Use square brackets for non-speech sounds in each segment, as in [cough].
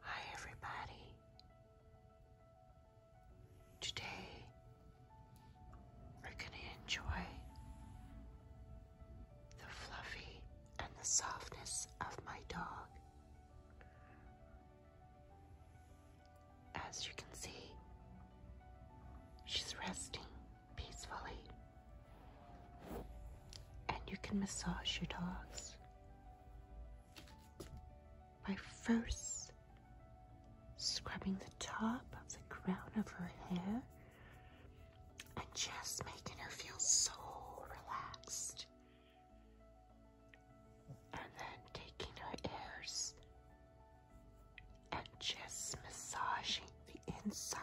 Hi, everybody. Today we're going to enjoy the fluffy and the softness of my dog. As you can see, she's resting peacefully. And you can massage your dogs. By first scrubbing the top of the crown of her hair and just making her feel so relaxed. And then taking her ears and just massaging the inside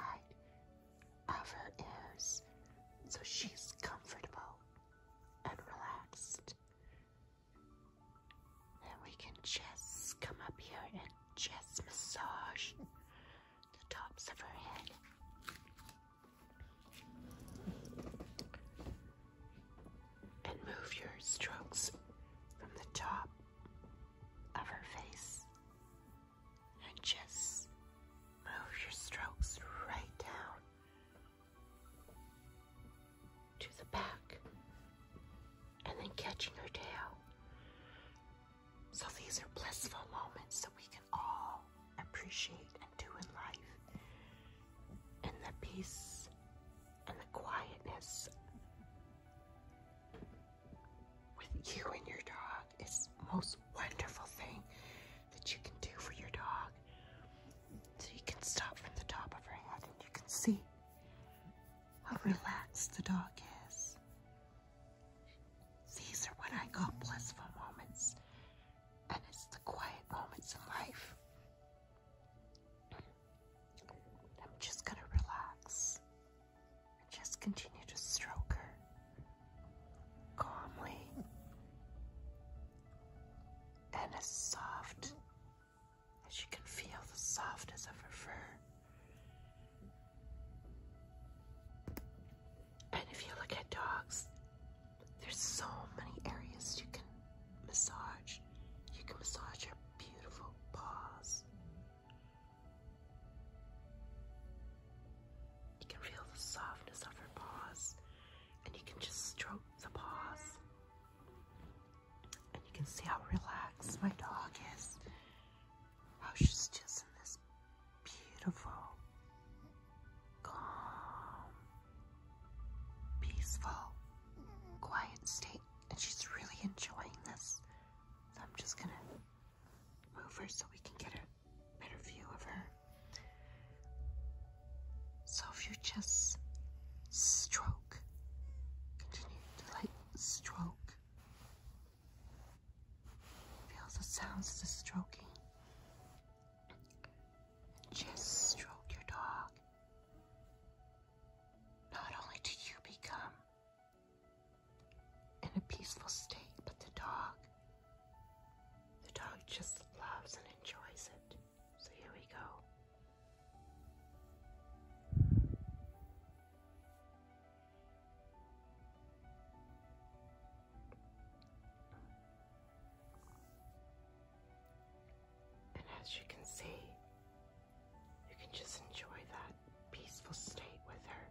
of her ears so she's comfortable and relaxed. Then we can just come up here and just massage the tops of her head. And move your strokes from the top of her face and just move your strokes right down to the back and then catching her tail. So these are blissful moments that we can all appreciate and do in life. And the peace and the quietness with you and your dog. It's the most wonderful thing that you can do for your dog. So you can stop from the top of her head and you can see how relaxed the dog is. These are what I call blissful moments, and it's the quiet moments in life. I'm just gonna relax and just continue to stroke her calmly and as soft as you can feel the softness of her fur. And if you look at dogs, there's so many areas you can massage. You can massage your beautiful paws. You can feel the softness of her paws, and you can just stroke the paws. And you can see how relaxed my dog is, how she's just in this beautiful, calm, peaceful, quiet state, and she's really enjoying this so I'm just gonna move her so we can get a better view of her. So if you just stroke, continue to like stroke. Feel the sounds of stroking. just stroke your dog. Not only do you become in a peaceful state, but the dog, the dog just loves and enjoys it. So here we go. And as you can see, you can just enjoy that peaceful state with her.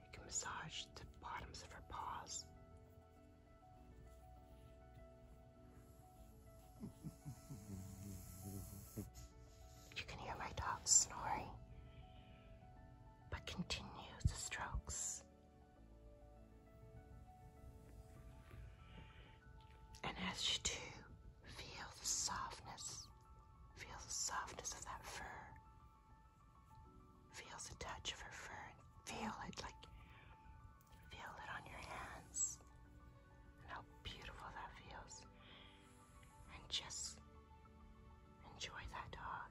You can massage the bottoms of her paws. You can hear my dog snoring, but continue the strokes. And as you do, Feel the softness. Feel the softness of that fur. Feel the touch of her fur feel it like feel it on your hands. how beautiful that feels. And just enjoy that dog.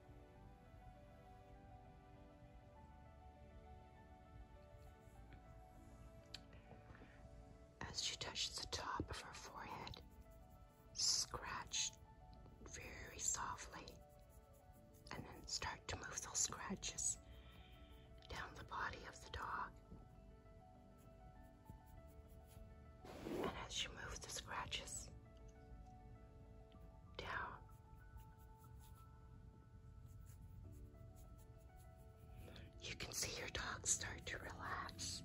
As she touches the top of her forehead, scratched very softly, and then start to move those scratches down the body of the dog. And as you move the scratches down you can see your dog start to relax.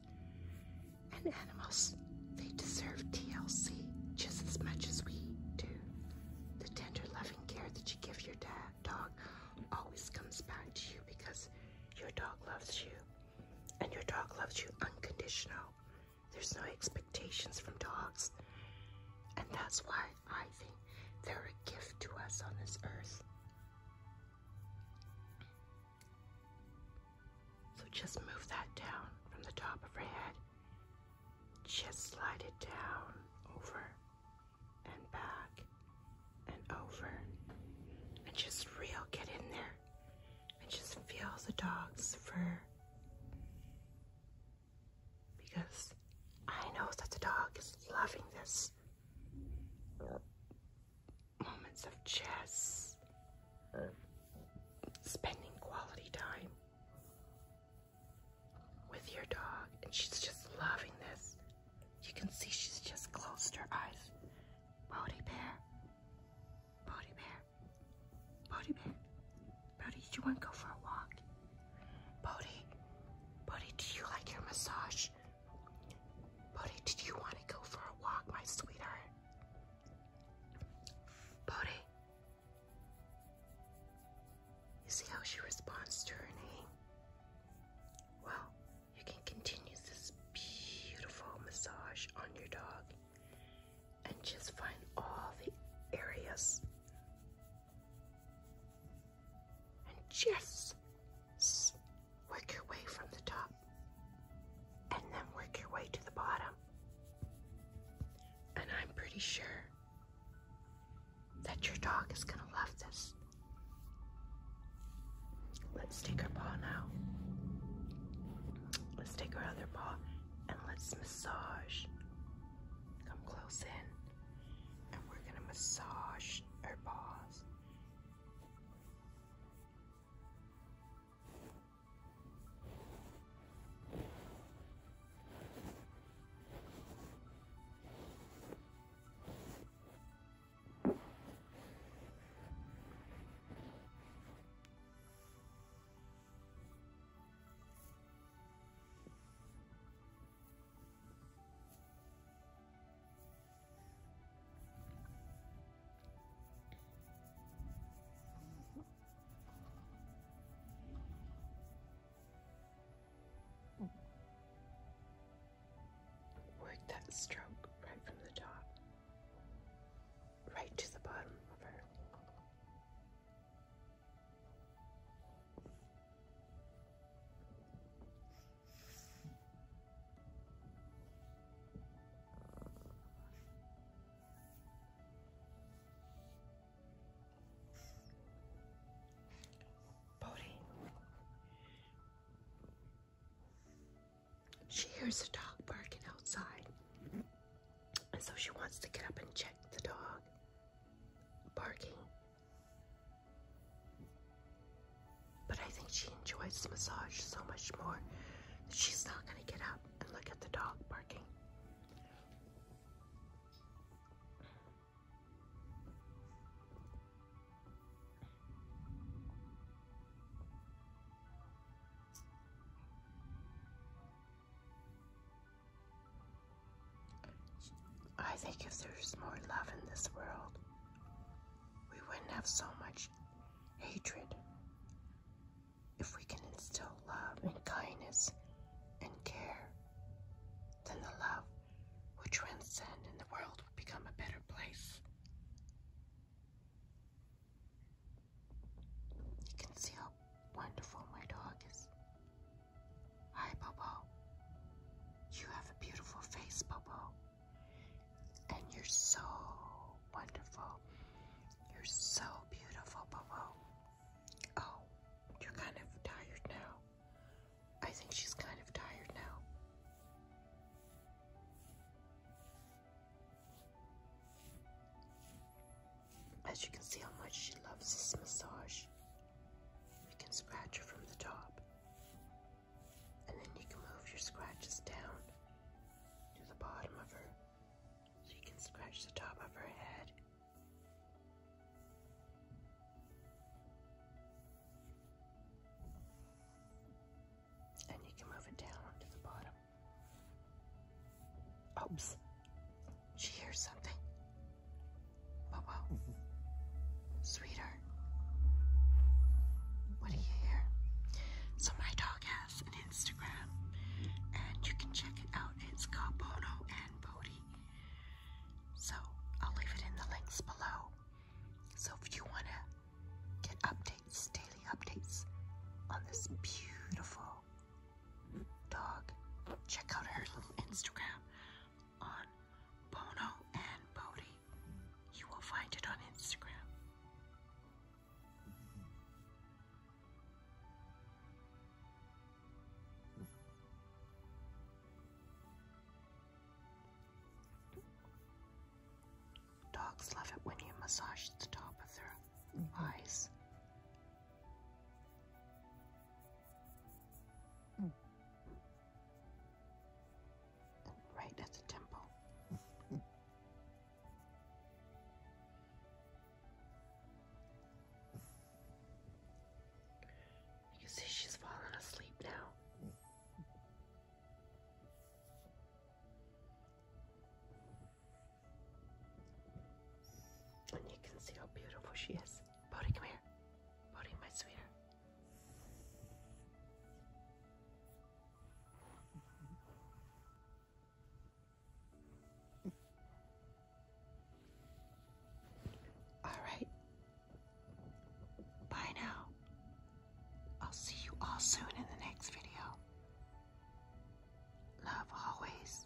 And animals, they deserve TLC just as much as we do. The tender, loving care that you give your dad, dog always comes back to you because your dog loves you. And your dog loves you unconditional. There's no expectations from dogs. And that's why I think they're a gift to us on this earth. So just move that down from the top of her head. Just slide it down over and back and over. And just real get in there. And just feel the dog's fur because I know that the dog is loving this moments of chess, spending quality time with your dog, and she's just loving this. You can see she's just closed her eyes. Bodie bear, Bodie bear, Bodie bear. Bodie, do you want to go for a walk? Bodie, Bodie, do you like your massage? Bodie, did you want to go for a walk, my sweetheart? Bodie. You see how she responds to her Well, you can continue this beautiful massage on your dog and just find all the areas and just work your way from the top and then work your way to the bottom. And I'm pretty sure that your dog is going to love this. Let's take her paw now. Let's take her other paw and let's massage Come close in, and we're gonna massage her paws. Work that stroke right from the top, right to the bottom of her. Bodhi. She hears a dog barking outside, and so she wants to get up and check the dog barking. But I think she enjoys the massage so much more that she's not going to get up and look at the dog barking. I think if there's more love in this world, we wouldn't have so much hatred. If we can instill love and kindness and care, then the love would transcend and the world would become a better place. You can see how wonderful my dog is. Hi, Bobo. You have a beautiful face, Bobo. And you're so wonderful. You're so beautiful, Bobo. Oh, you're kind of tired now. I think she's kind of tired now. As you can see how much she loves this massage. You can scratch her from the top. And then you can move your scratches down to the bottom of her. So you can scratch the top of her head. And you can move it down to the bottom. Oops. She hears something. Bobo. Sweetheart. What do you hear? So my dog has an Instagram and you can check it out. It's called Bono and Bodhi. So I'll leave it in the links below. So if you wanna get updates, daily updates on this beautiful dog, check out her little Instagram on Bono and Bodie. You will find it on Instagram. Dogs love it when you massage the top of their mm-hmm. eyes. Mm. Right at the temple. [laughs] You can see she's fallen asleep now. And you can see how beautiful she is. Bodhi, come here. Bodhi, my sweeter. All right. Bye now. I'll see you all soon in the next video. Love always.